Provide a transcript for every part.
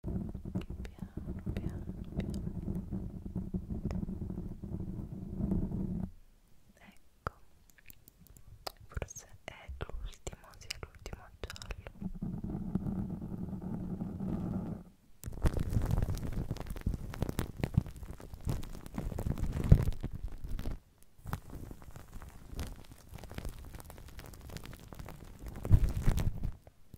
piano piano ecco forse è l'ultimo sì è l'ultimo giallo ok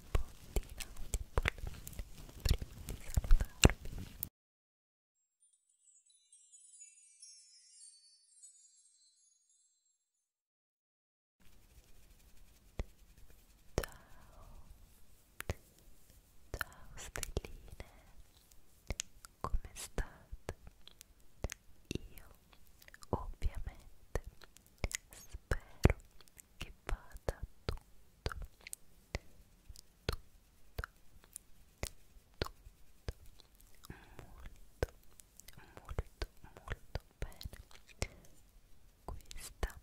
bottina di polline prima di salutarvi Ciao, ciao stelline, come state? Io ovviamente spero che vada tutto, tutto, tutto molto, molto, molto bene. Questa,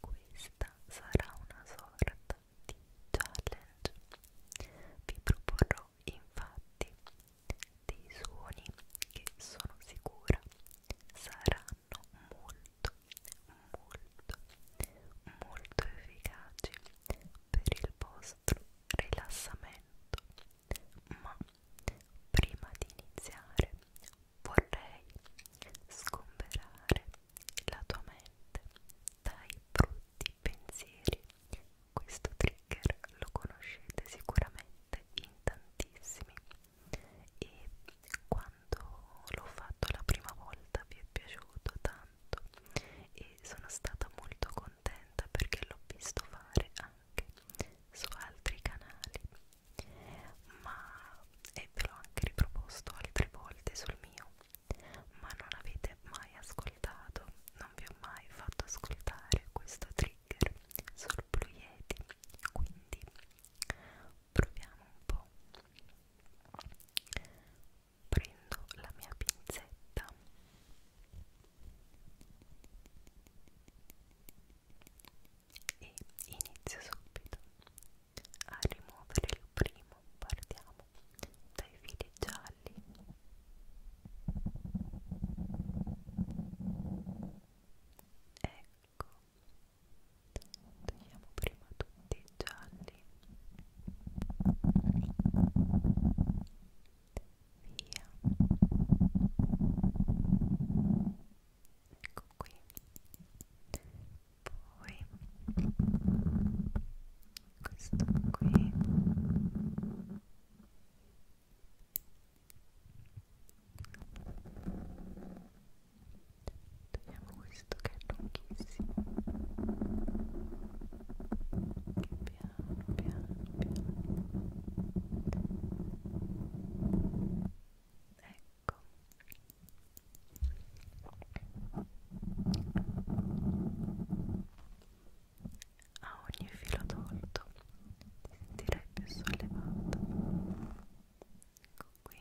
questa sarà una sorta di challenge. Vi proporrò infatti dei suoni che sono sicura saranno molto, molto, molto efficaci per il vostro rilassamento. Ma prima di iniziare vorrei sgomberare la tua mente dai brutti pensieri. Questo trigger lo conoscete sicuramente in tantissimi e quando l'ho fatto la prima volta vi è piaciuto tanto e sono stata molto contenta perché l'ho visto fare anche su altri canali ma e ve l'ho anche riproposto altre volte sul mio ma non avete mai ascoltato non vi ho mai fatto ascoltare questo trigger sul Blue Yeti quindi proviamo un po' prendo la mia pinzetta e inizio subito a rimuovere il primo partiamo dai fili gialli ecco togliamo prima tutti i gialli via ecco qui poi questo qui ok Togliamo questo che è lunghissimo. Che piano, piano, piano. Ecco. A ogni filo tolto ti sentirai più sollevato ecco qui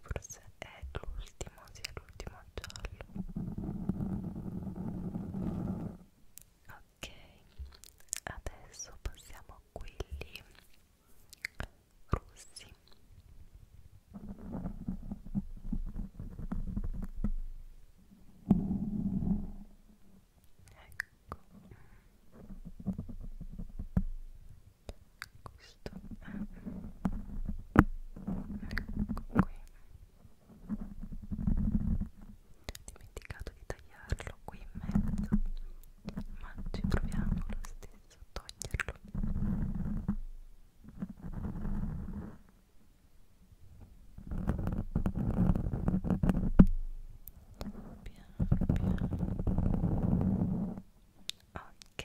forse è l'ultimo sì è l'ultimo giallo ok adesso passiamo a quelli rossi Ecco questo ecco qui dimenticato di tagliarlo qui in mezzo ma ci proviamo lo stesso a toglierlo piano piano ok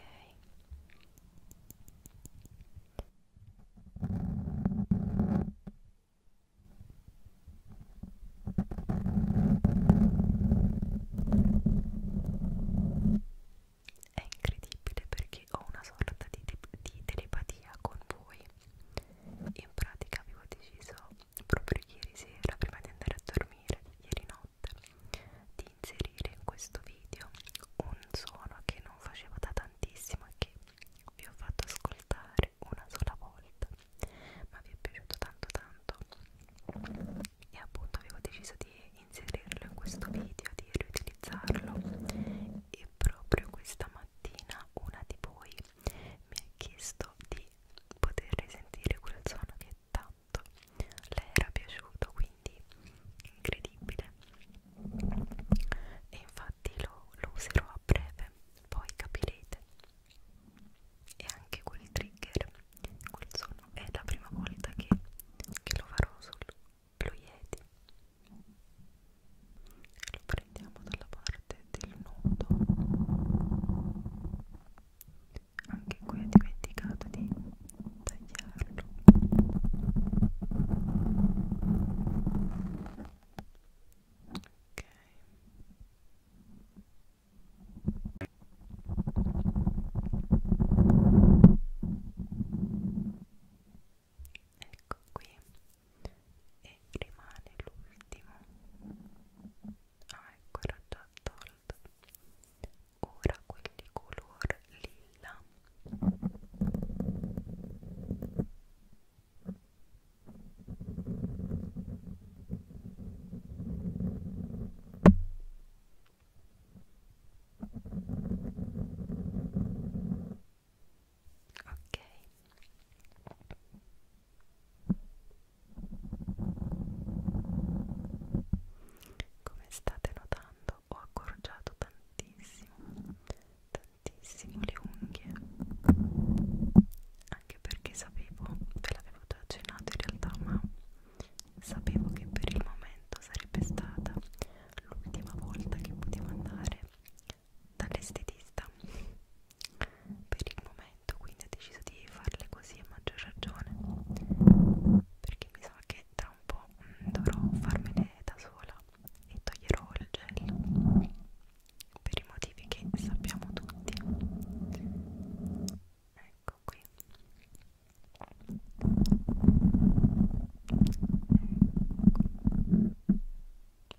è incredibile perché ho una sorta di, te di telepatia con voi in pratica avevo deciso proprio ieri sera prima di andare a dormire ieri notte notte di inserire in questo video un suono che non facevo da tantissimo e che vi ho fatto ascoltare una sola volta ma vi è piaciuto tanto tanto e appunto avevo deciso di inserirlo in questo video di riutilizzarlo e proprio questa mattina una di voi mi ha chiesto di poter risentire quel suono che tanto le era piaciuto quindi incredibile e infatti lo, lo userò a breve poi capirete e anche quel trigger quel suono è la prima volta che, che lo farò sullo Yeti lo prendiamo dalla parte del nodo anche qui ho dimenticato di tagliarlo ok ecco qui e rimane l'ultimo ah ecco era già tolto ora quelli color lilla ok come state notando ho accorciato tantissimo, tantissimo le unghie, anche perché sapevo, ve l'avevo già accennato in realtà, ma sapevo che per il momento sarebbe stata l'ultima volta che potevo andare dall'estetista. Per il momento momento quindi ho deciso di farle così a maggior ragione perché mi sa che tra un po' dovrò farmele da sola e toglierò il gel per i motivi che sappiamo tutti ecco qui ecco.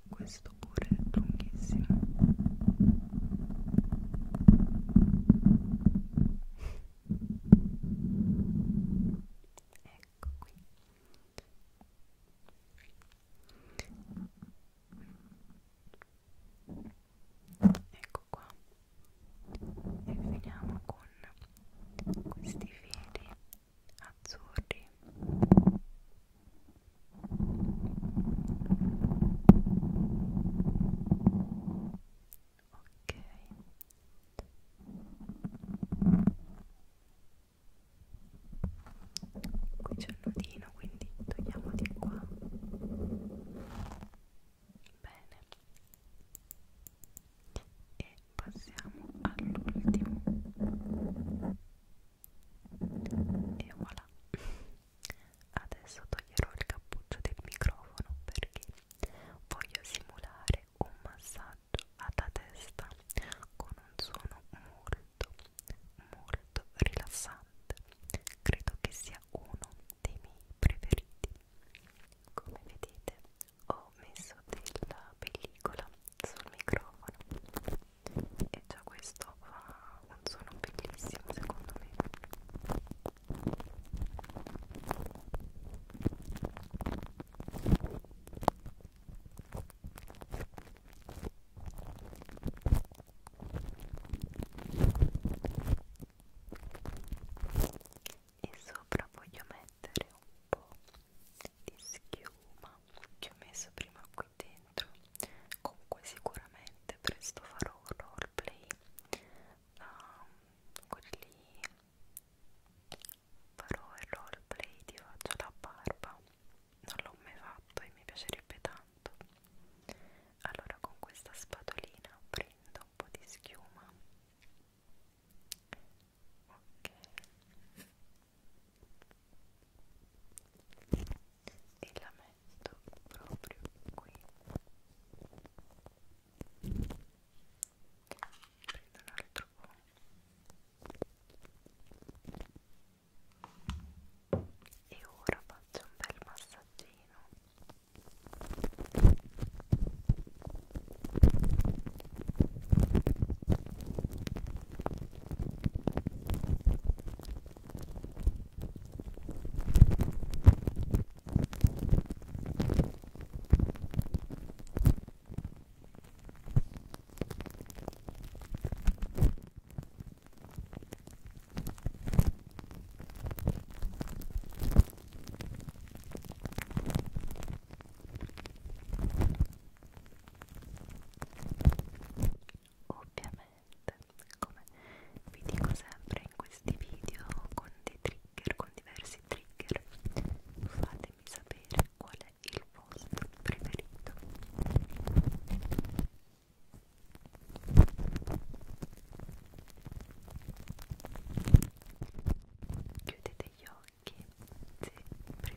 questo pure è lunghissimo ecco qui ecco qua e finiamo con questi fili azzurri ok qui c'è il nodino quindi togliamo di qua bene e passiamo all'ultimo e voilà Adesso toglierò il cappuccio del microfono perché voglio simulare un massaggio alla testa con un suono molto, molto rilassante. Credo che sia uno dei miei preferiti. Come vedete, ho messo della pellicola sul microfono e già questo fa un suono bellissimo secondo me e sopra voglio mettere un po' di schiuma che ho messo prima qui dentro comunque sicuramente presto farò un roleplay um, quelli lì farò il roleplay ti faccio la barba non l'ho mai fatto e mi piacerebbe tanto allora con questa spatolina prendo un po' di schiuma ok e la metto metto proprio qui prendo l'altro po' e ora faccio un bel massaggino Ora Ovviamente, come vi dico sempre, in questi video con dei trigger, con diversi trigger fatemi sapere qual è il vostro preferito chiudete gli occhi se preferite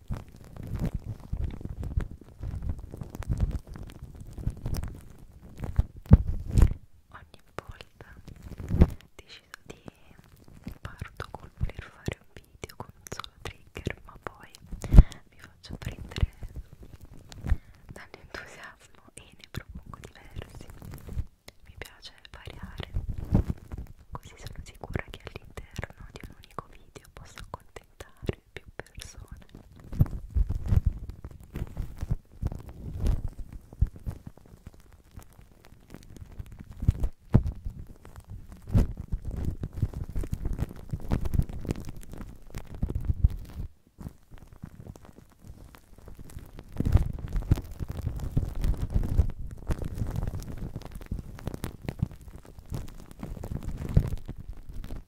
Ogni volta decido di parto col voler fare un video con un solo trigger, ma poi mi faccio prendere dall'entusiasmo e ne propongo diversi. Mi piace variare, così sono sicura che all'interno di un unico video posso accontentare più persone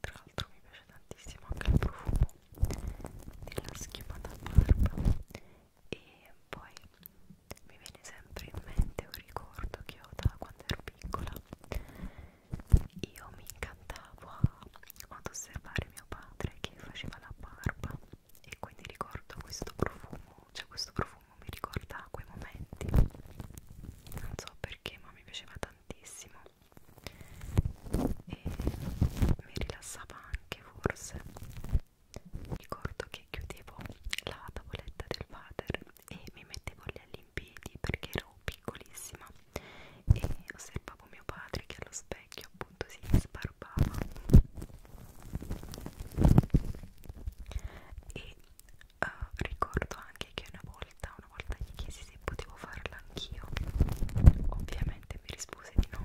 Tra l'altro mi piace tantissimo anche il profumo della schiuma da barba e poi mi viene sempre in mente un ricordo che ho da quando ero piccola. Io mi incantavo ad osservare mio padre che faceva la barba e quindi ricordo questo profumo, cioè questo profumo profumo mi ricorda quei momenti non so perché ma mi piaceva tantissimo e mi rilassava anche forse ricordo che chiudevo la tavoletta del water e mi mettevo lì all'impiedi perché ero piccolissima e osservavo mio padre che allo specchio appunto si sbarbava e uh, ricordo anche che una volta, una volta gli chiesi se potevo farla anch'io, ovviamente mi rispose di no.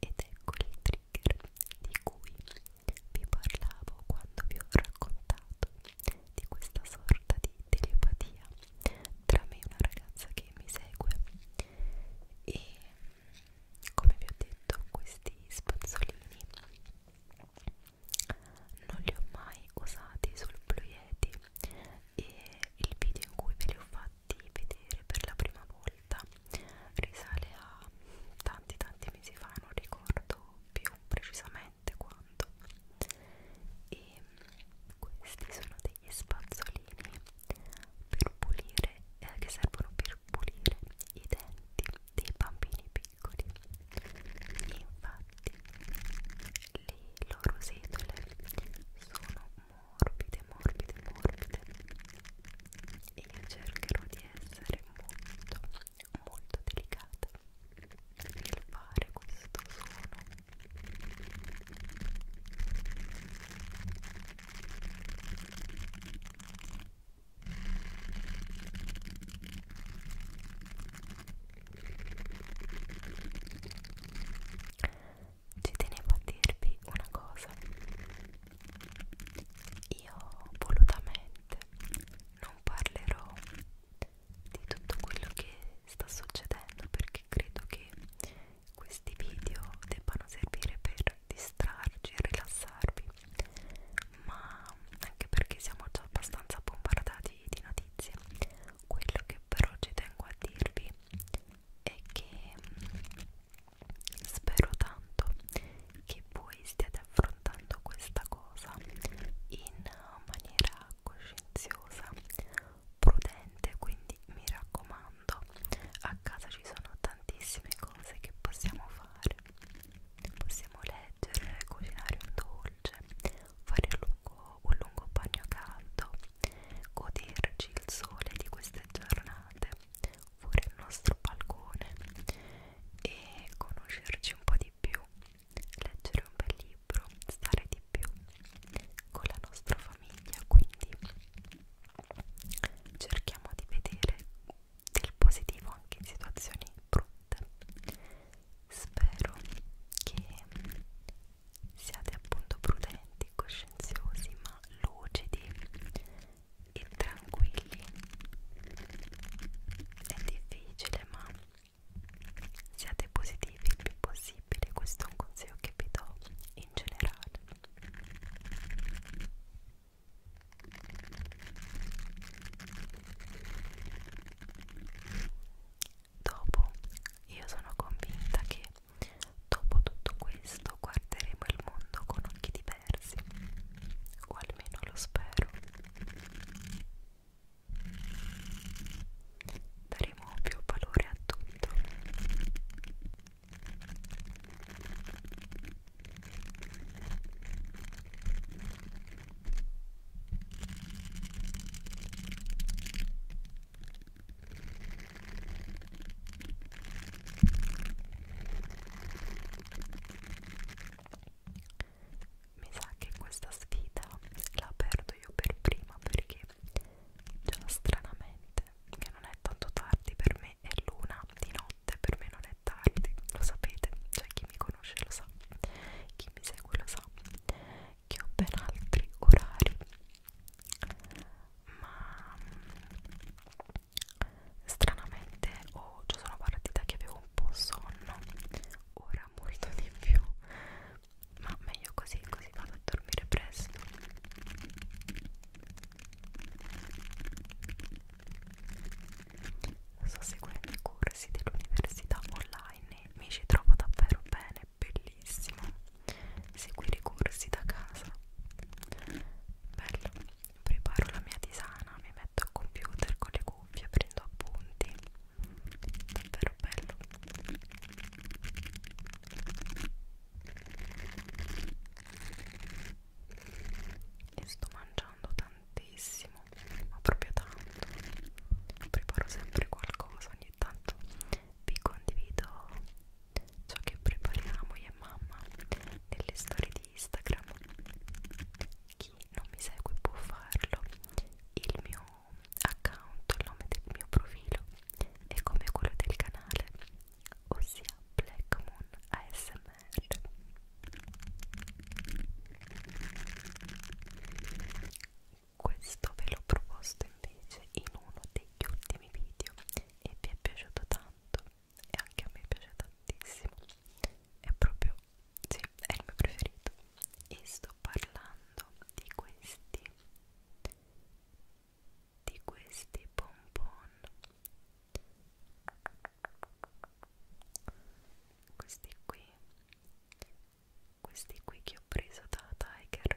Ed ecco il trigger di cui vi parlavo quando vi ho raccontato di questa sorta di telepatia tra me e una ragazza che mi segue e come vi ho detto questi spazzolini non li ho mai usati sul Blue Yeti e il video in cui ve li ho fatti vedere per la prima volta risale a tanti tanti mesi fa non ricordo più precisamente quanto e questi sono degli spazzolini per pulire, eh, che servono per pulire i denti dei bambini piccoli. Infatti, le loro setole sono morbide, morbide, morbide. E io cercherò di essere molto, molto delicata nel fare questo suono. Ci tenevo a dirvi una cosa. Io volutamente non parlerò di tutto quello che sta succedendo perché credo che questi video debbano servire per per distrarci e rilassarvi, ma anche perché siamo già abbastanza bombardati di notizie. Quello che però ci tengo a dirvi è che mm, spero tanto che voi stiate affrontando questa cosa in maniera coscienziosa, prudente, quindi mi raccomando mondo a casa ci sono tantissime cose che possiamo fare possiamo leggere cucinare un dolce fare un lungo, un lungo bagno caldo goderci il sole di queste giornate fuori il nostro balcone e conoscerci un po' di più leggere un bel libro stare di più con la nostra famiglia quindi cerchiamo di vedere del positivo anche in situazioni brutte. Spero che siate appunto prudenti, coscienziosi, ma lucidi e tranquilli. È difficile, ma siate positivi il più possibile. Questo è un consiglio che vi do in generale. Dopo, io sono convinta che dopo tutto questo guarderemo il mondo con occhi diversi, o almeno lo spero. Daremo più valore a tutto. Mi sa che questa sfida la perdo io per prima perché già stranamente, che non è tanto tardi per me, è l'una di notte, per me non è tardi, lo sapete, cioè chi mi conosce lo sa, chi mi segue lo sa, che ho ben altri orari, ma mm, stranamente oh, ci sono partita che avevo un po' sonno, ora molto di più, ma meglio così, così vado a dormire presto. Sto seguendo i corsi dell'università online e mi ci trovo davvero bene, bellissimo. Seguire i corsi da casa. Bello. Preparo la mia tisana, mi metto al computer con le cuffie, prendo appunti. Davvero bello e sto mangiando tantissimo ma proprio tanto preparo sempre qualcosa ogni tanto vi condivido ciò che prepariamo io e mamma nelle storie di Instagram chi non mi segue può farlo il mio account il nome del mio profilo è come quello del canale ossia Black Moon ASMR questo ve l'ho proposto invece in uno degli ultimi video e vi è piaciuto tanto e anche a me piace tantissimo è proprio sì, è il mio preferito e sto parlando di questi di questi bonbon questi qui questi qui che ho preso da Tiger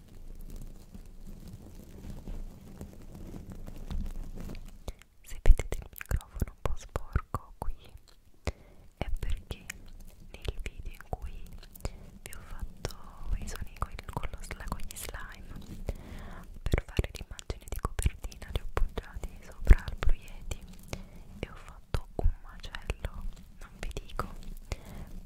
Se vedete il microfono un po' sporco qui è perché nel video in cui vi ho fatto i suoni con, con, lo, con gli slime per fare l'immagine di copertina li ho appoggiati sopra al proietti e ho fatto un macello, non vi dico,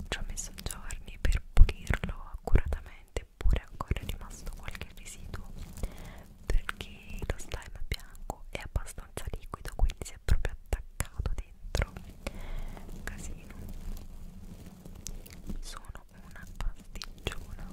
ci ho messo giorni per pulirlo accuratamente sicuramente pure ancora è rimasto qualche residuo perché lo slime bianco è abbastanza liquido quindi si è proprio attaccato dentro un casino sono una pasticciona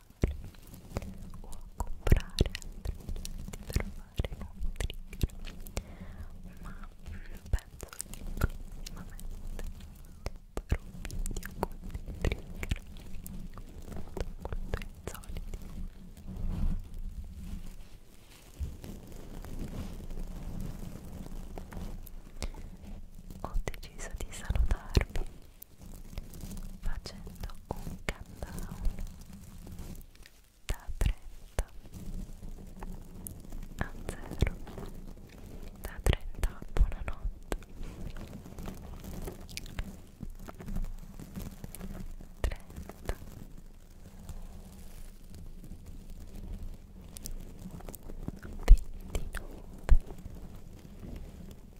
o a comprare altri oggetti per fare nuovo trigger ma penso che prossimamente farò un video con dei trigger molto molto insoliti ho deciso di salutarvi facendo un countdown da 30 a 0 da 30 a buonanotte 30 29 28 27 26 25 24 23 22 21 20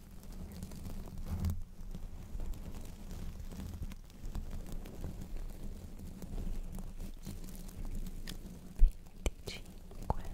venticinque ventiquattro ventitré ventiquattro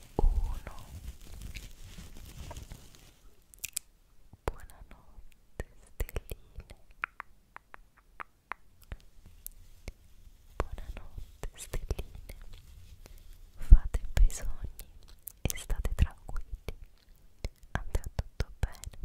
uno buonanotte stelline buonanotte stelline fate i bei sogni e state tranquilli andrà tutto bene